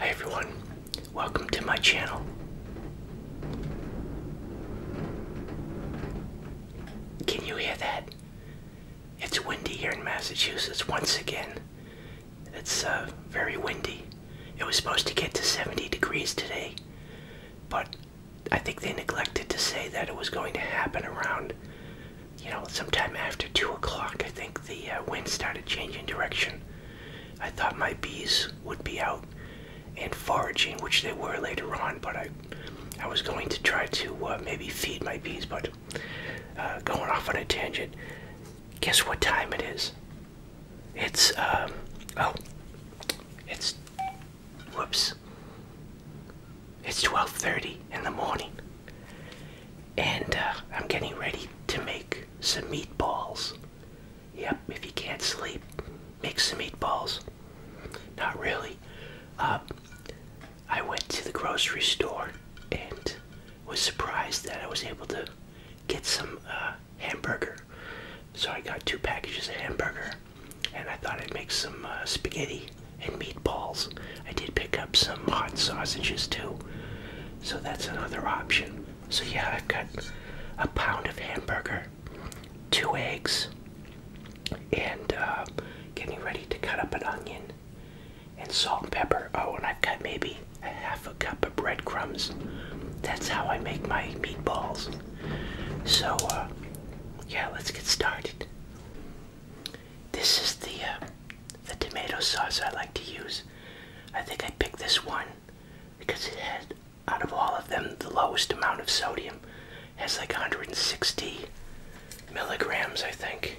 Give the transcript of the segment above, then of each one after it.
Hi everyone, welcome to my channel. Can you hear that? It's windy here in Massachusetts once again. It's uh, very windy. It was supposed to get to 70 degrees today, but I think they neglected to say that it was going to happen around you know, sometime after 2 o'clock, I think the uh, wind started changing direction. I thought my bees would be out and foraging, which they were later on, but I, I was going to try to uh, maybe feed my bees, but uh, going off on a tangent. Guess what time it is? It's, um, oh, it's, whoops. It's 12.30 in the morning and uh, I'm getting ready to make some meatballs. Yep, if you can't sleep, make some meatballs. Not really. Um, I went to the grocery store and was surprised that I was able to get some uh, hamburger. So I got two packages of hamburger and I thought I'd make some uh, spaghetti and meatballs. I did pick up some hot sausages too, so that's another option. So, yeah, I've got a pound of hamburger, two eggs, and uh, getting ready to cut up an onion and salt and pepper. Oh, and I've got maybe a half a cup of breadcrumbs. That's how I make my meatballs. So, uh, yeah, let's get started. This is the uh, the tomato sauce I like to use. I think I picked this one because it had, out of all of them, the lowest amount of sodium. It has like 160 milligrams, I think.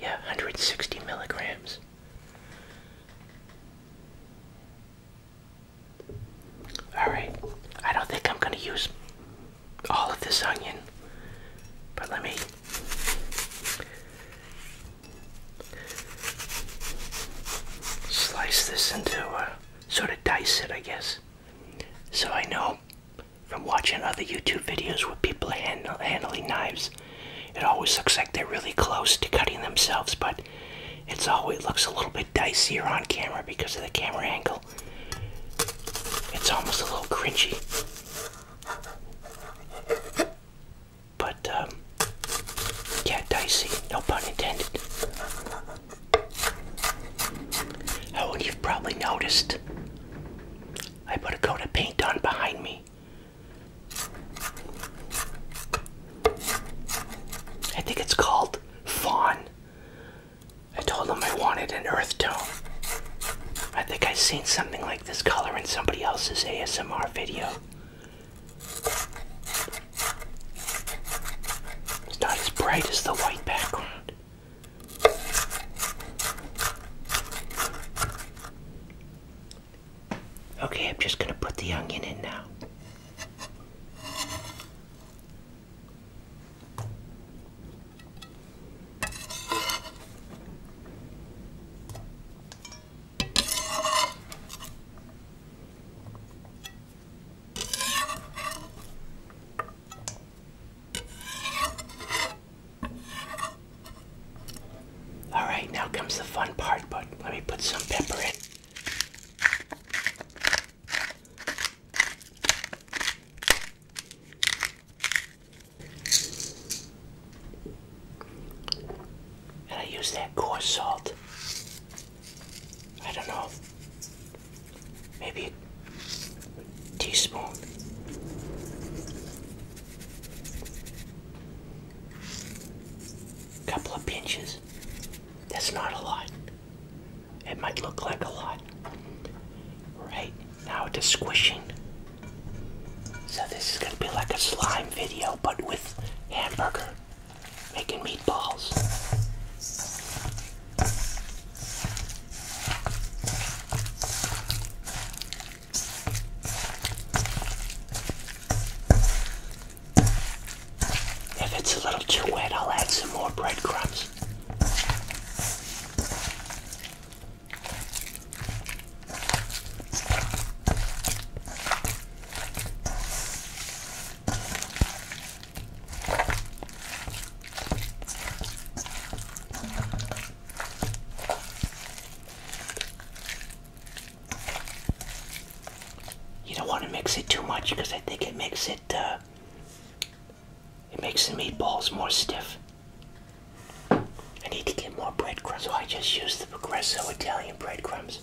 Yeah, 160 milligrams. Alright, I don't think I'm going to use all of this onion. But let me slice this into a uh, sort of dice it, I guess. So I know from watching other YouTube videos where people are handling knives, it always looks like they're really close to cutting themselves, but it's always looks a little bit dicier on camera because of the camera angle. It's almost a little cringy. But, um, yeah, dicey. No pun intended. Oh, and you've probably noticed I put a coat of paint on behind me. I think it's called Fawn I told him I wanted an earth tone. I think I have seen something like this color in somebody else's ASMR video. It's not as bright as the white background. Okay, I'm just gonna put the onion in now. All right, now comes the fun part, but let me put some pepper in. And I use that coarse salt. I don't know, maybe a teaspoon. Couple of pinches. That's not a lot. It might look like a lot. Right now it is squishing. So this is gonna be like a slime video, but with hamburger making meatballs. If it's a little too wet, I'll add some more breadcrumbs. You don't want to mix it too much because I think it makes it uh, it makes the meatballs more stiff. I need to get more breadcrumbs, I just use the Progresso Italian breadcrumbs.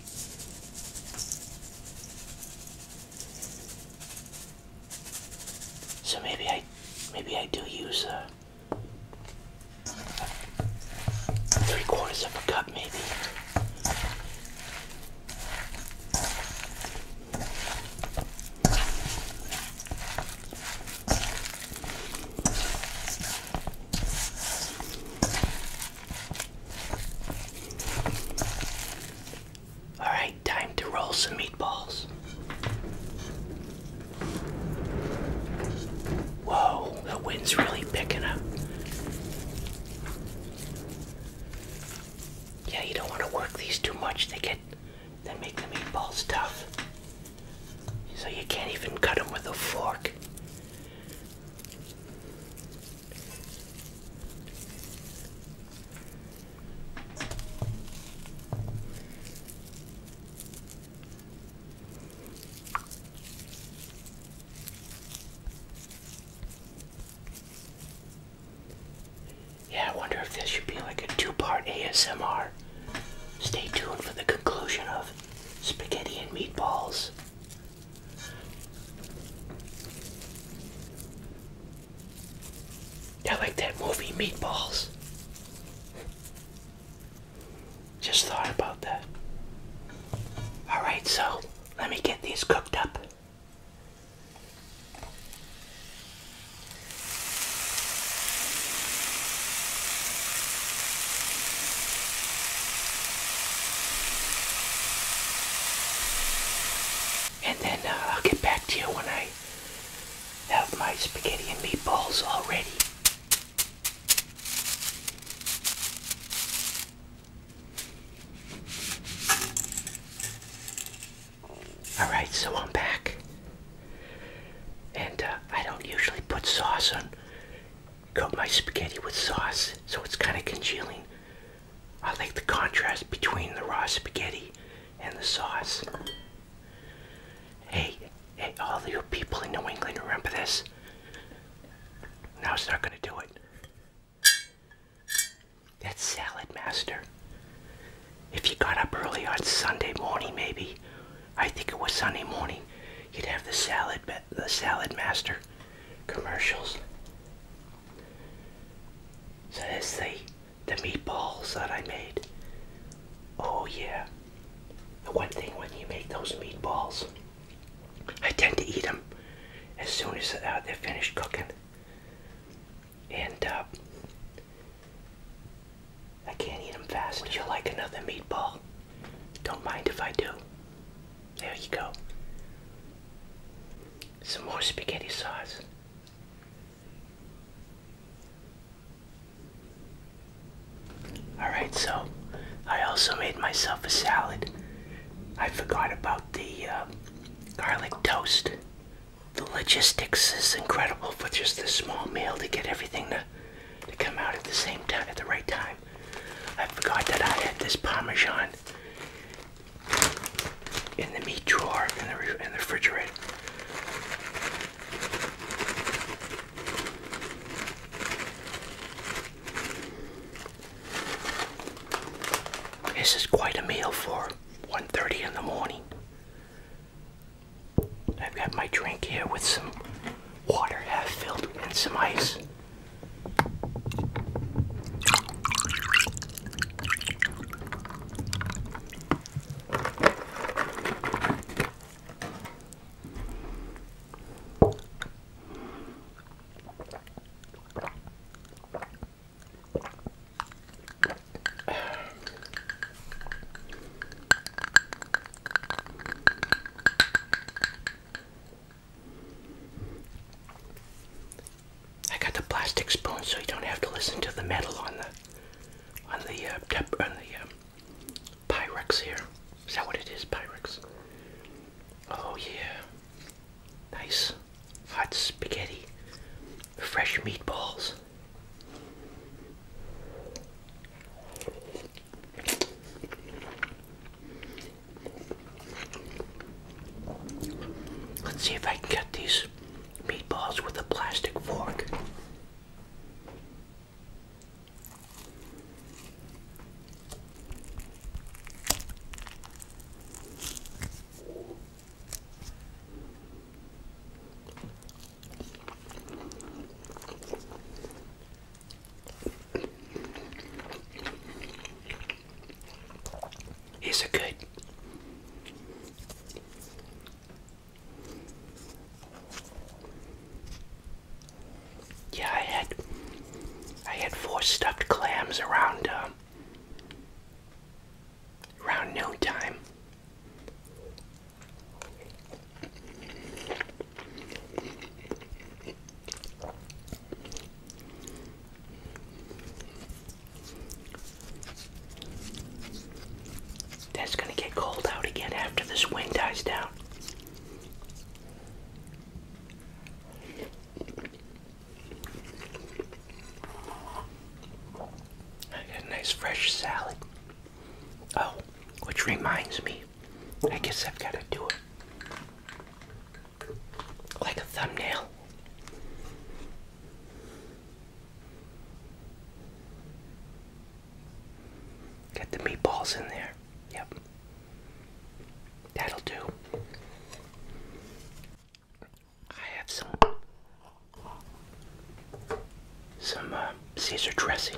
So maybe I, maybe I do use a three quarters of a cup, maybe. All right, time to roll some meatballs. Whoa, the wind's really picking up. Yeah, you don't want to work these too much. They get they make the meatballs tough. So you can't even cut them with a fork. Yeah, I wonder if this should be like a two part ASMR. Stay tuned for the conclusion of Spaghetti and Meatballs. I like that movie, Meatballs. Just thought about that. Alright, so let me get these cooked up. And then uh, I'll get back to you when I have my spaghetti and meatballs all ready. Alright, so I'm back. And uh, I don't usually put sauce on, coat my spaghetti with sauce, so it's kind of congealing. I like the contrast between the raw spaghetti and the sauce. Hey, hey, all you people in New England, remember this? Now it's not going to do it. That Salad Master. If you got up early on Sunday morning, maybe, I think it was Sunday morning, you'd have the Salad, the Salad Master commercials. So that's the, the meatballs that I made. Oh yeah. The one thing when you make those meatballs, I tend to eat them as soon as uh, they're finished cooking and uh, I can't eat them fast. Would you like another meatball? Don't mind if I do. There you go. Some more spaghetti sauce. Alright, so I also made myself a salad. I forgot about the uh, garlic toast the logistics is incredible for just this small meal to get everything to, to come out at the same time, at the right time. I forgot that I had this Parmesan in the meat drawer in the, in the refrigerator. This is quite a meal for 1.30 in the morning. I've got my drink here with some water half filled and some ice. I got the plastic spoon, so you don't have to listen to the metal on the on the uh, on the um, Pyrex here. Is that what it is, Pyrex? Oh yeah, nice hot spaghetti fresh meatballs. Let's see if I can cut these meatballs with a plastic fork. Is it good? Yeah, I had I had four stuffed clams around um, around time. That's going to get cold out again after this wind dies down. I got a nice fresh salad. Oh, which reminds me, I guess I've got to do it like a thumbnail. Get the meatballs in there. Yep. That'll do. I have some some uh, Caesar dressing.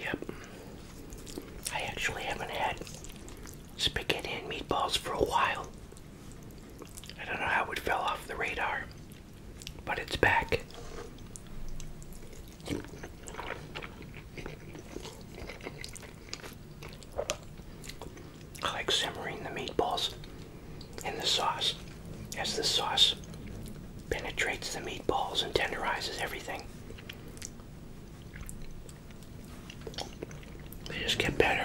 Yep. I actually haven't had spaghetti and meatballs for a while. I don't know how it fell off the radar but it's back. I like simmering the meatballs in the sauce as the sauce penetrates the meatballs and tenderizes everything. They just get better.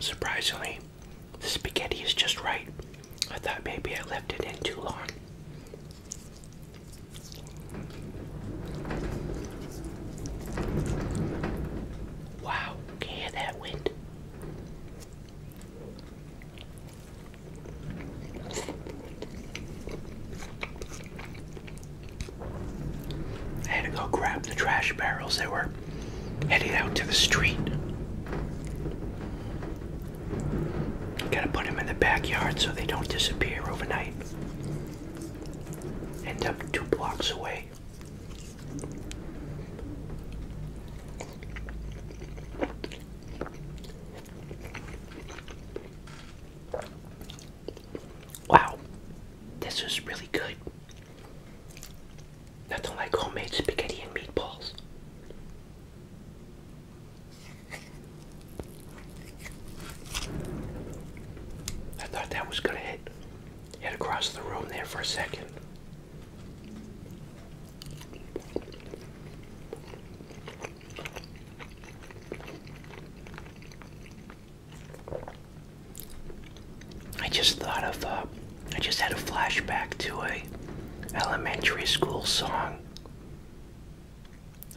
Surprisingly, the spaghetti is just right. I thought maybe I left it in too long. Wow, can you hear that wind? had to go grab the trash barrels They were headed out to the street. Gotta put them in the backyard so they don't disappear overnight. End up two blocks away. Wow, this is really good. Nothing like homemade spaghetti and meatballs. I thought that was gonna hit hit across the room there for a second. I just thought of uh, I just had a flashback to a elementary school song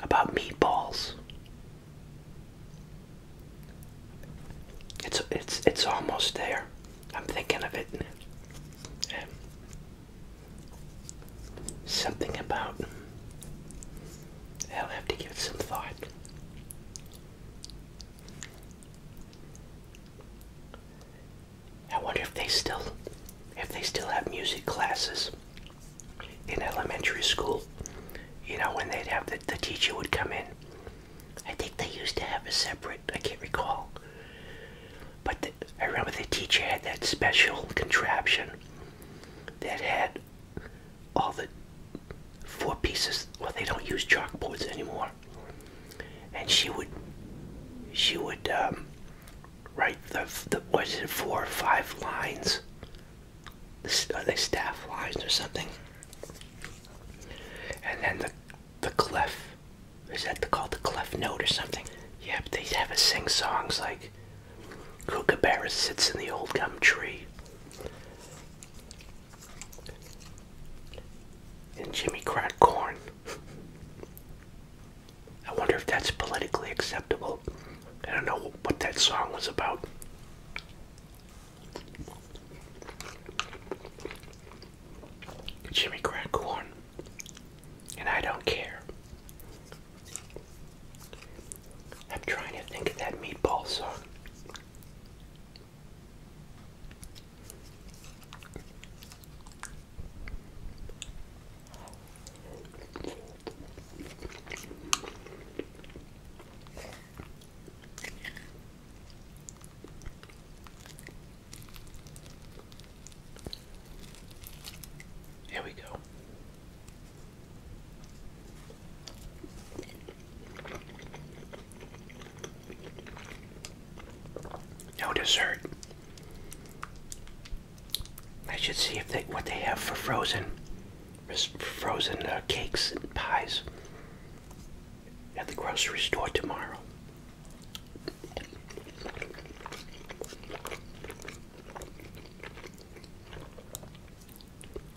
about meatballs. It's it's it's almost there. I'm thinking of it. Um, something about I'll have to give it some thought. I wonder if they still if they still have music classes in elementary school, you know, when they'd have the, the teacher would come in. I think they used to have a separate, I can't recall. But I remember the teacher had that special contraption that had all the four pieces. Well, they don't use chalkboards anymore. And she would, she would um, write the, the, what is it, four or five lines are uh, they staff lines or something? And then the the clef is that called the clef note or something? Yep, they have us sing songs like Kookaburra sits in the old gum tree. And Jimmy Crack corn. I wonder if that's politically acceptable. I don't know what that song was about. Jimmy Crack Corn. And I don't care. I'm trying to think of that meatball song. Here we go. No dessert. I should see if they what they have for frozen, frozen uh, cakes and pies at the grocery store tomorrow.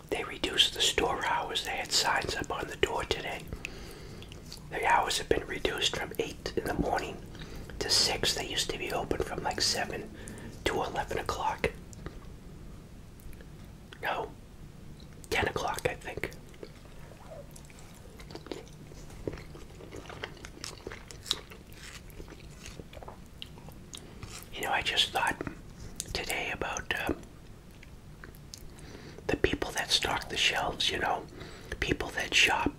They reduced the store hours. They had signs up on the door today. The hours have been reduced from 8 in the morning to 6. They used to be open from like 7 to 11 o'clock. No, 10 o'clock, I think. You know, I just thought today about um, the people that stock the shelves, you know, people that shop,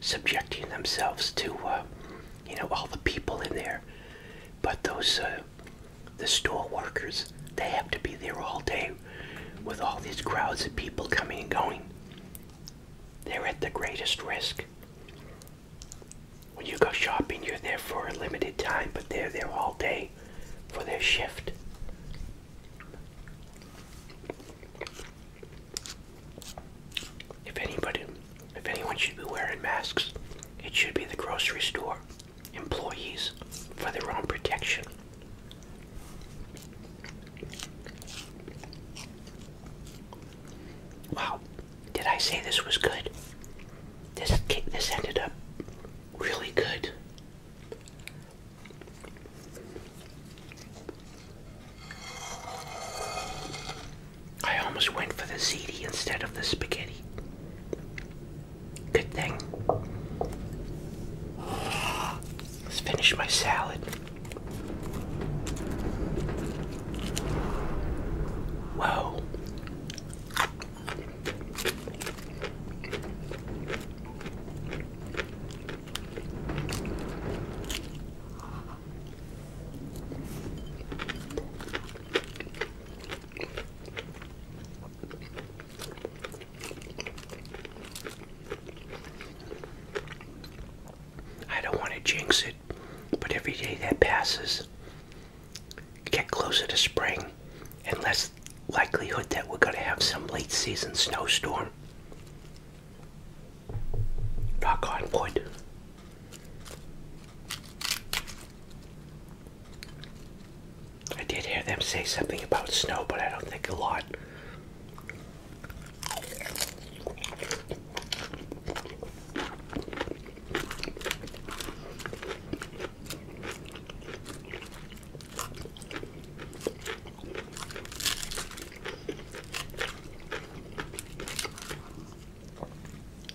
subjecting themselves to uh, you know all the people in there but those uh, the store workers they have to be there all day with all these crowds of people coming and going they're at the greatest risk when you go shopping you're there for a limited time but they're there all day for their shift if anybody if anyone should be wearing masks, it should be the grocery store employees for their own protection. Wow, did I say this was good? This this ended up really good. I almost went for the ziti instead of the spaghetti. Good thing. Let's finish my salad. Whoa. I don't want to jinx it, but every day that passes, get closer to spring and less likelihood that we're going to have some late season snowstorm. Rock on I did hear them say something about snow, but I don't think a lot.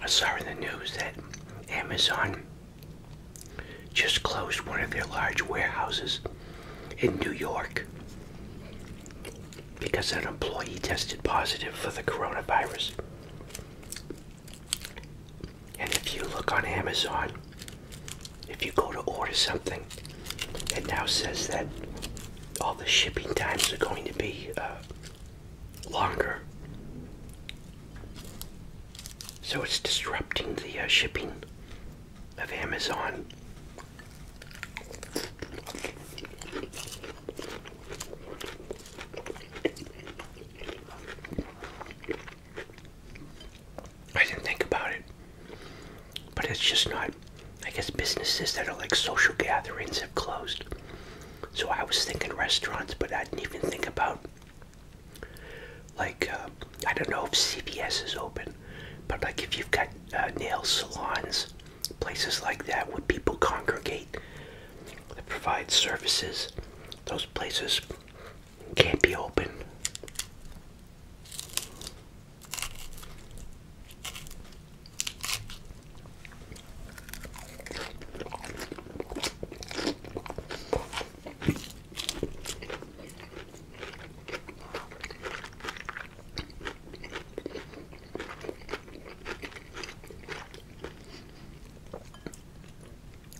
I saw in the news that Amazon just closed one of their large warehouses in New York because an employee tested positive for the coronavirus. And if you look on Amazon, if you go to order something, it now says that all the shipping times are going to be uh, longer. So it's disrupting the uh, shipping of Amazon. I didn't think about it. But it's just not. I guess businesses that are like social gatherings have closed. So I was thinking restaurants, but I didn't even think about. Like, uh, I don't know if CVS is open, but like if you've got uh, nail salons places like that where people congregate that provide services. Those places can't be open.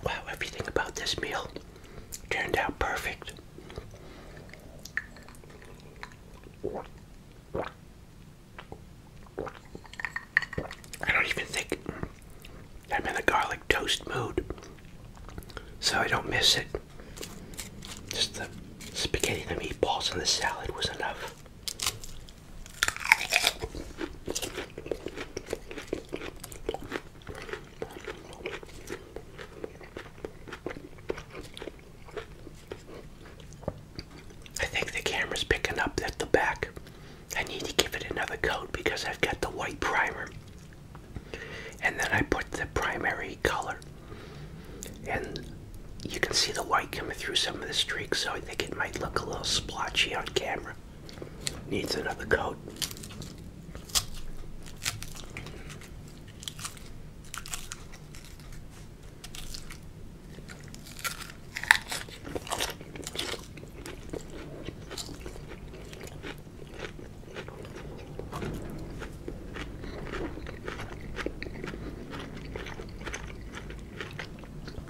Wow, everything about this meal turned out perfect. I don't even think I'm in the garlic toast mood, so I don't miss it. Just the spaghetti the meatballs and the salad was enough. I think the camera's picking up at the back. I need to give it another coat because I've got the white primer. And then I put the primary color. And you can see the white coming through some of the streaks, so I think it might look a little splotchy on camera. Needs another coat.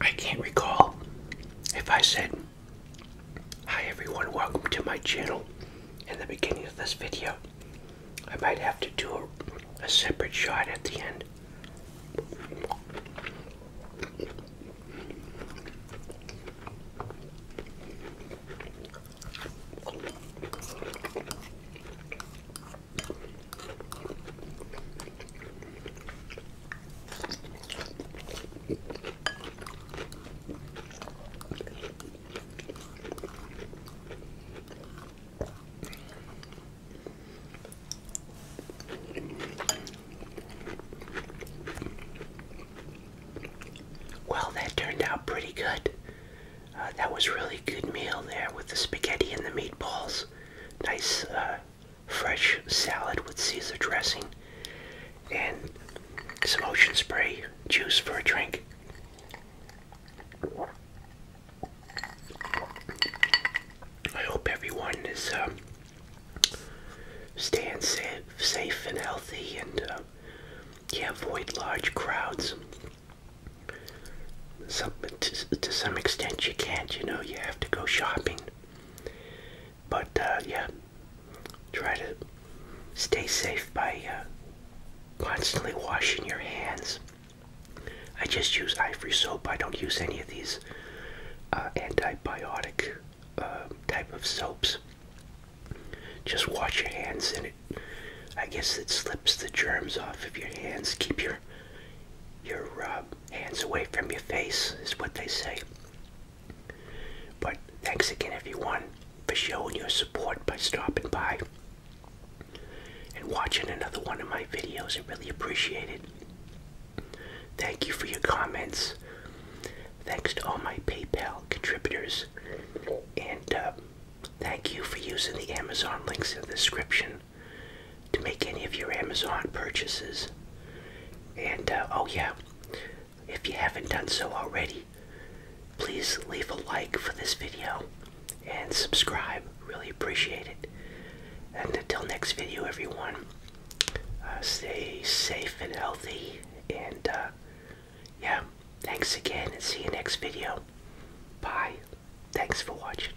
I can't recall if I said, Hi everyone, welcome to my channel in the beginning of this video. I might have to do a, separate shot at the end. Well, that turned out pretty good. Uh, that was really good meal there with the spaghetti and the meatballs. Nice uh, fresh salad with Caesar dressing, and some ocean spray juice for a drink. I hope everyone is um, staying safe, safe and healthy and uh, yeah, avoid large crowds to, some extent you can't. You know, you have to go shopping. But uh, yeah, try to stay safe by uh, constantly washing your hands. I just use ivory soap. I don't use any of these uh, antibiotic type of soaps. Just wash your hands in it. I guess it slips the germs off of your hands. Keep your your uh, hands away from your face, is what they say. But thanks again, everyone, for showing your support by stopping by and watching another one of my videos. I really appreciate it. Thank you for your comments. Thanks to all my PayPal contributors. And uh, thank you for using the Amazon links in the description to make any of your Amazon purchases. And uh, oh, yeah, if you haven't done so already, please leave a like for this video and subscribe. Really appreciate it. And until next video, everyone, uh, stay safe and healthy. And uh, yeah, thanks again and see you next video. Bye. Thanks for watching.